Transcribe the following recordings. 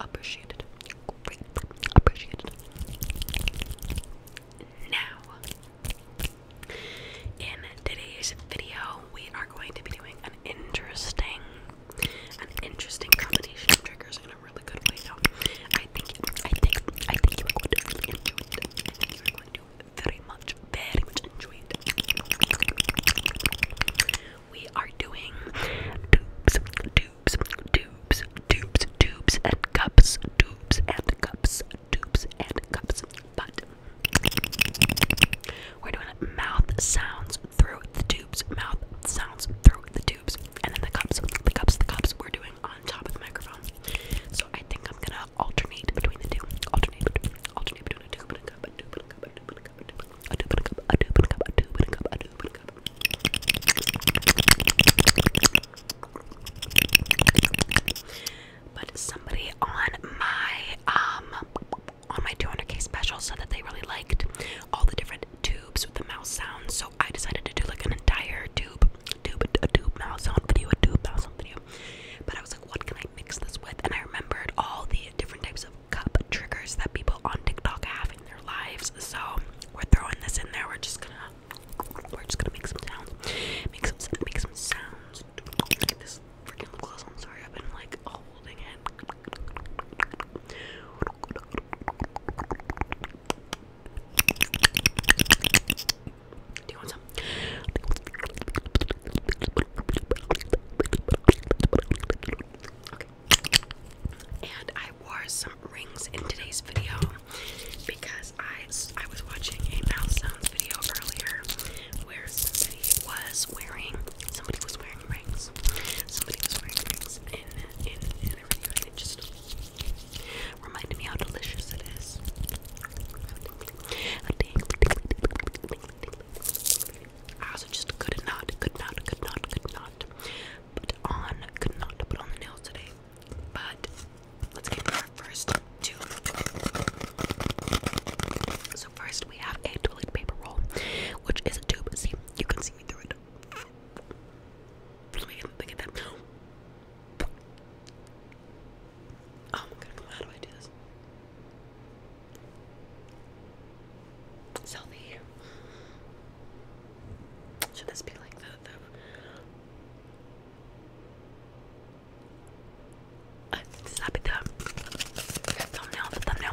appreciated, greatly appreciated, appreciated. Now, in today's video, we are going to be doing an interesting, an interesting combination of triggers in a really good way. Now, I think, I think, I think you are to enjoy it. you are going to very much, very much enjoy it we are doing tubes, tubes, tubes, tubes, tubes, and cups, tubes, and cups, tubes, and cups. But we're doing mouth sounds through the tubes, mouth sounds through the tubes, and then the cups, the cups, the cups we're doing on top of the microphone. So I think I'm gonna alternate between the two. Alternate between alternate between a tube and a cup, a tube and a cup, a tube and a but somebody on my um on my 200k special said that they really liked all the different tubes with the mouse sounds, so I decided to do like an entire tube, tube, a tube mouse sound video, a tube mouse sound video. But I was like, what can I mix this with? And I remembered all the different types of cup triggers that people on TikTok have in their lives. So we're throwing this in there. We're just gonna we're just gonna make some sounds. Make some make some sounds. this freaking lip I'm sorry, I've been like holding it. Do you want some? And I wore some rings in today's video because I I was watching a mouse sounds video earlier where somebody was wearing somebody was wearing rings. Somebody was wearing rings in in in a video and it just reminded me how delicious it is. I was just could not, good not, good not, good not put on, could not put on the nails today. But let's get to our first two. So first we have a toilet paper roll, which is a tube. See, you can see me through it. look at that. Oh my god, how do I do this? It's healthy. Should this be like the, the... Uh, this be thumbnail, the thumbnail.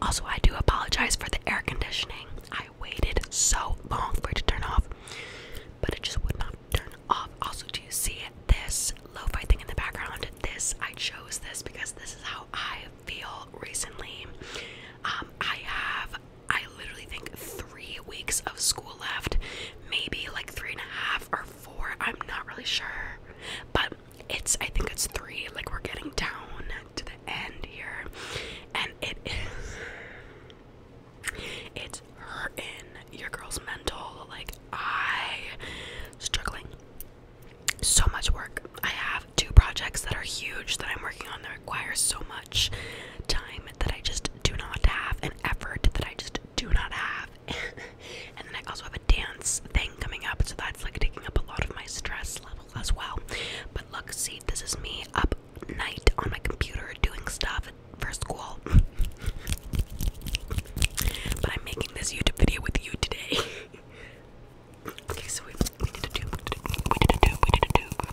Also, I do apologize for the air conditioning. I waited so long for it to turn off, but it just would not turn off. Also, do you see this lo-fi thing in the background? This I chose this because this is how I feel recently. Um, I have I literally think three weeks of school left, maybe like three and a half or four. I'm not really sure, but it's I think it's three. Like we're getting down to the end here, and it is it's her in your girl's mental. Like I struggling. So much work. I have two projects that are huge that I'm working on that require so much time that I just do not have, and effort that I just do not have. and then I also have a dance thing coming up, so that's like taking up a lot of my stress level as well. But look, see, this is me up night on my computer doing stuff for school. but I'm making this YouTube video with you today. okay, so we, we did do, we did a do, we did a do, we did a do.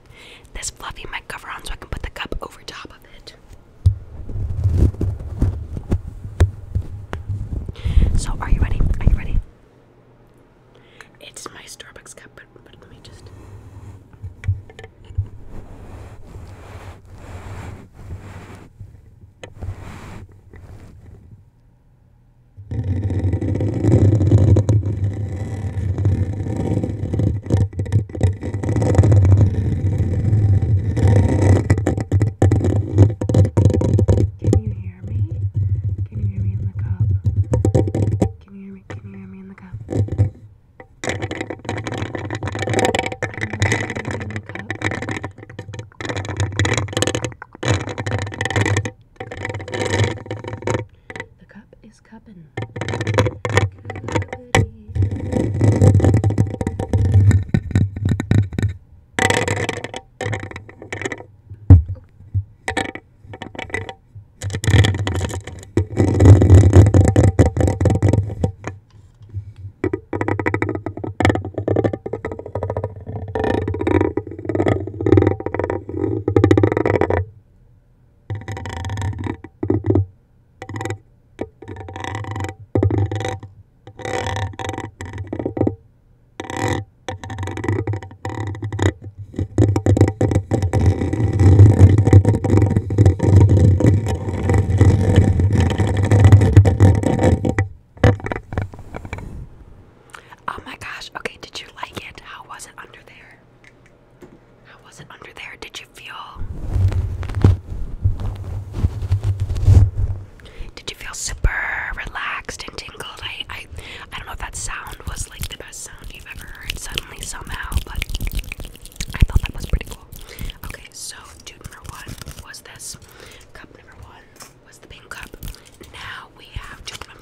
This fluffy mic cover on so I can put the cup over top of it. So, are you ready? Are you ready? It's my Starbucks cup, but let me just. Can you hear me? Can you hear me in the cup? Can you hear me? Can you hear me in the cup? Can you hear me in the cup? The is cuppin'. Oh my gosh, okay, did you like it? How was it under there? How was it under there? Did you feel? Did you feel super relaxed and tingled? I, I, I don't know if that sound was like the best sound you've ever heard suddenly somehow, but I thought that was pretty cool. Okay, so dude number one was this. Cup number one was the pink cup. Now we have two number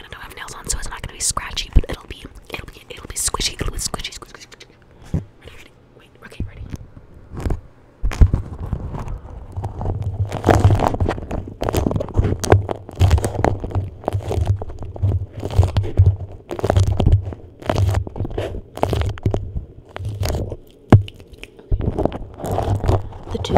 and I don't have nails on, so it's not gonna be scratchy, but it'll be, it'll be, it'll be squishy, it squishy, squishy, squishy, squishy. Ready, ready, wait, okay, ready the two.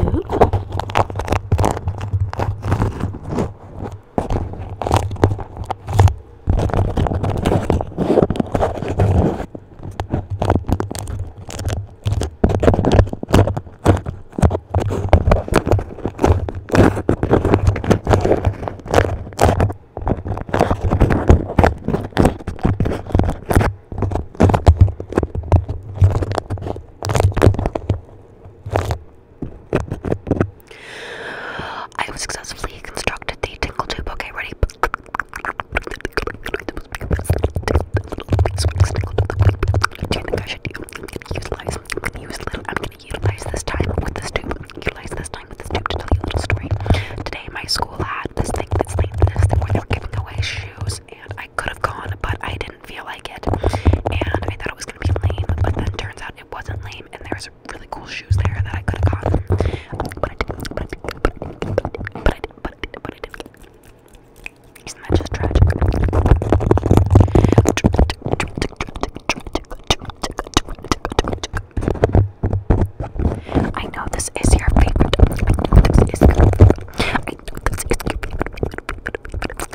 I have successfully constructed the tingle tube. Okay, ready? Do you think I should utilize? I'm gonna utilize this time with this tube. Utilize this time with this tube to tell you a little story. Today, my school had this thing that's like this thing where they were giving away shoes and I could have gone, but I didn't feel like it. And I thought it was gonna be lame, but then turns out it wasn't lame, and there's really cool shoes there that I could have gotten. But I did but I did but I did but I did but I did but I did Isn't that just tragic? I know this is your favorite. I know this is I know this is your favorite.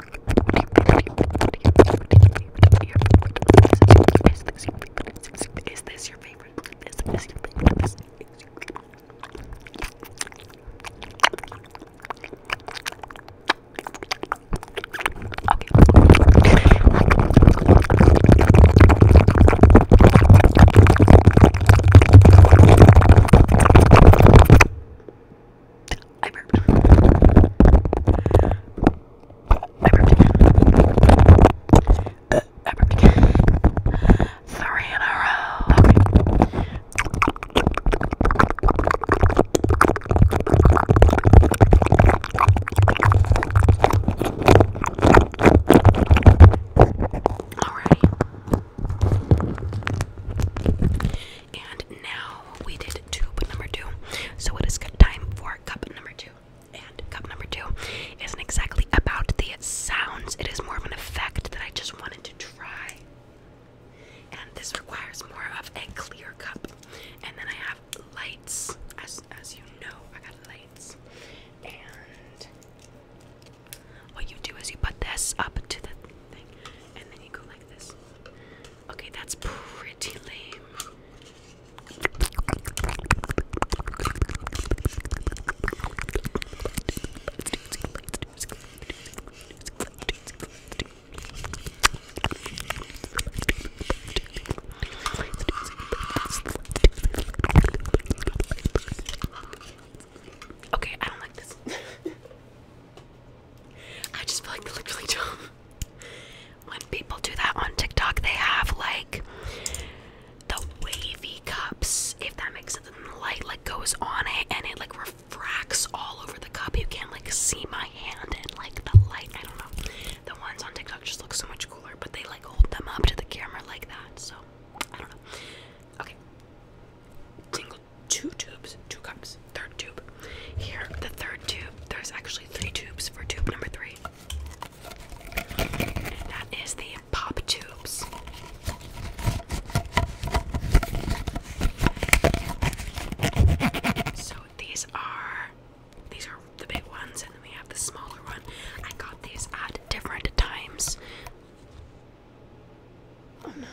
Is this your favorite? Is this your favorite? Is this your favorite? Okay. I burped. I burped. Uh, I burped. Three in a row. Okay. Alrighty. And now we did tube number two. So it is time for cup number two. And cup number two isn't exactly about the sounds, it is more of an effect that I just wanted to try. And this requires more of a clear cup. And then I have lights. As, as you know, I got lights. And what you do is you put this up to the thing, and then you go like this. Okay, that's pretty lame. Okay, I don't like this. I just feel like they look really dumb. When people do that on TikTok, they have like the wavy cups, if that makes sense. the light like goes on it and it like refracts all over the cup. You can not like see my hand and like the light. I don't know. The ones on TikTok just look so much cooler, but they like hold them up to the camera like that. So I don't know. Okay. Tingle two tubes, two cups, third tube. Here, the third tube, there's actually three tubes for tube number three. that is the pop tubes. So these are these are the big ones and then we have the smaller one. I got these at different times. Oh no,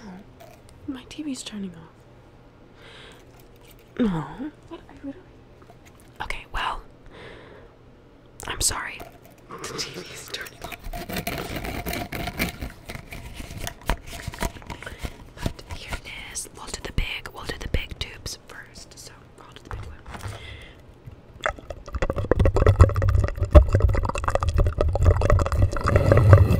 my TV's turning off. No. What? I literally. Okay, well, I'm sorry. the TV's turning off. But here it is. We'll do the big. We'll do the big tubes first. So I'll do the big one.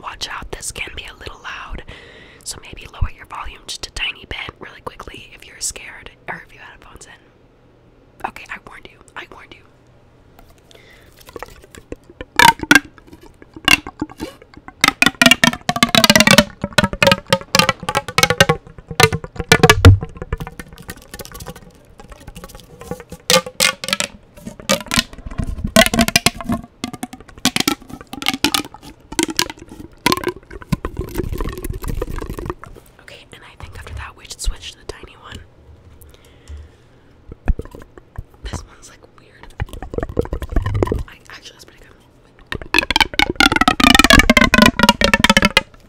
Watch out, this can be a little loud. So maybe lower your volume just a tiny bit really quickly if you're scared or if you have headphones in. Okay, I warned you. I warned you. Okay, and I think after that we should switch to the tiny one. This one's like weird. I, actually, that's pretty good.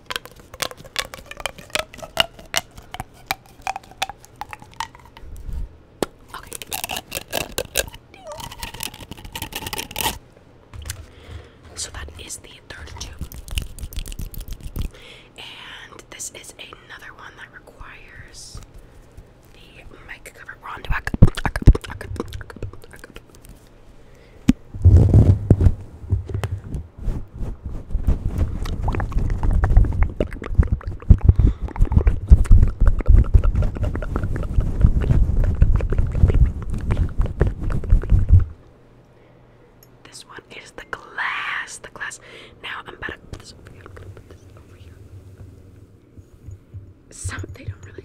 Okay. So that is the third tube. And this is another one that requires the mic cover. We're this one is the glass. The glass. Now I'm about to put this over here. put this over here. Some they don't really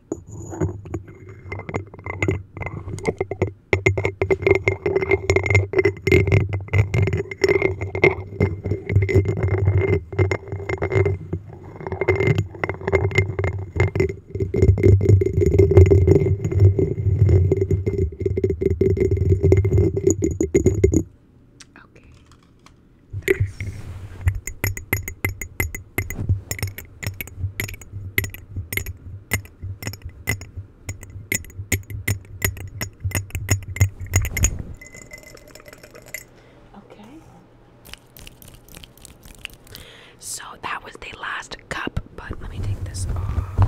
Okay. Nice. Okay. So that was the last cup, but let me take this off.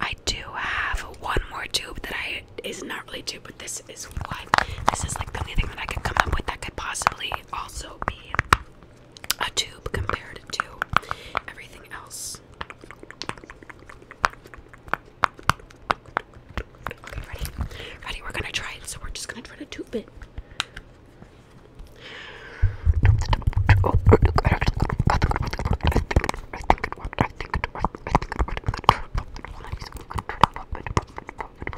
I do have one more tube that I is not really tube, but this is what this is like the only thing that I could come up with that could possibly also be a tube compared to everything else. Okay, ready? Ready? We're gonna try it. So we're just gonna try to tube it. Puppet,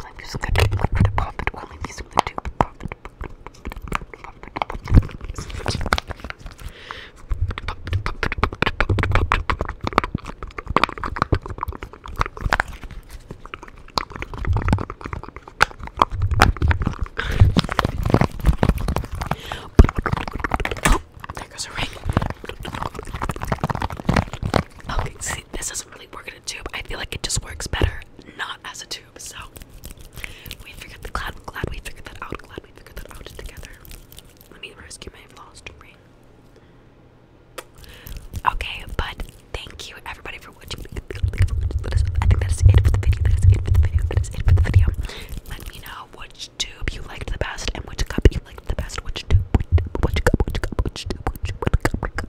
there goes a ring. Okay, see, this doesn't really work tube. I feel like it just works better not as a tube. So we figured the glad glad we figured that out. Glad we figured that out together. Let me rescue my lost ring. Okay, but thank you everybody for watching. I think that is it for the video. for the video. for the video. Let me know which tube you liked the best and which cup you liked the best. Which tube? Which, cup? Which cup? Which tube? Which, cup? Which cup?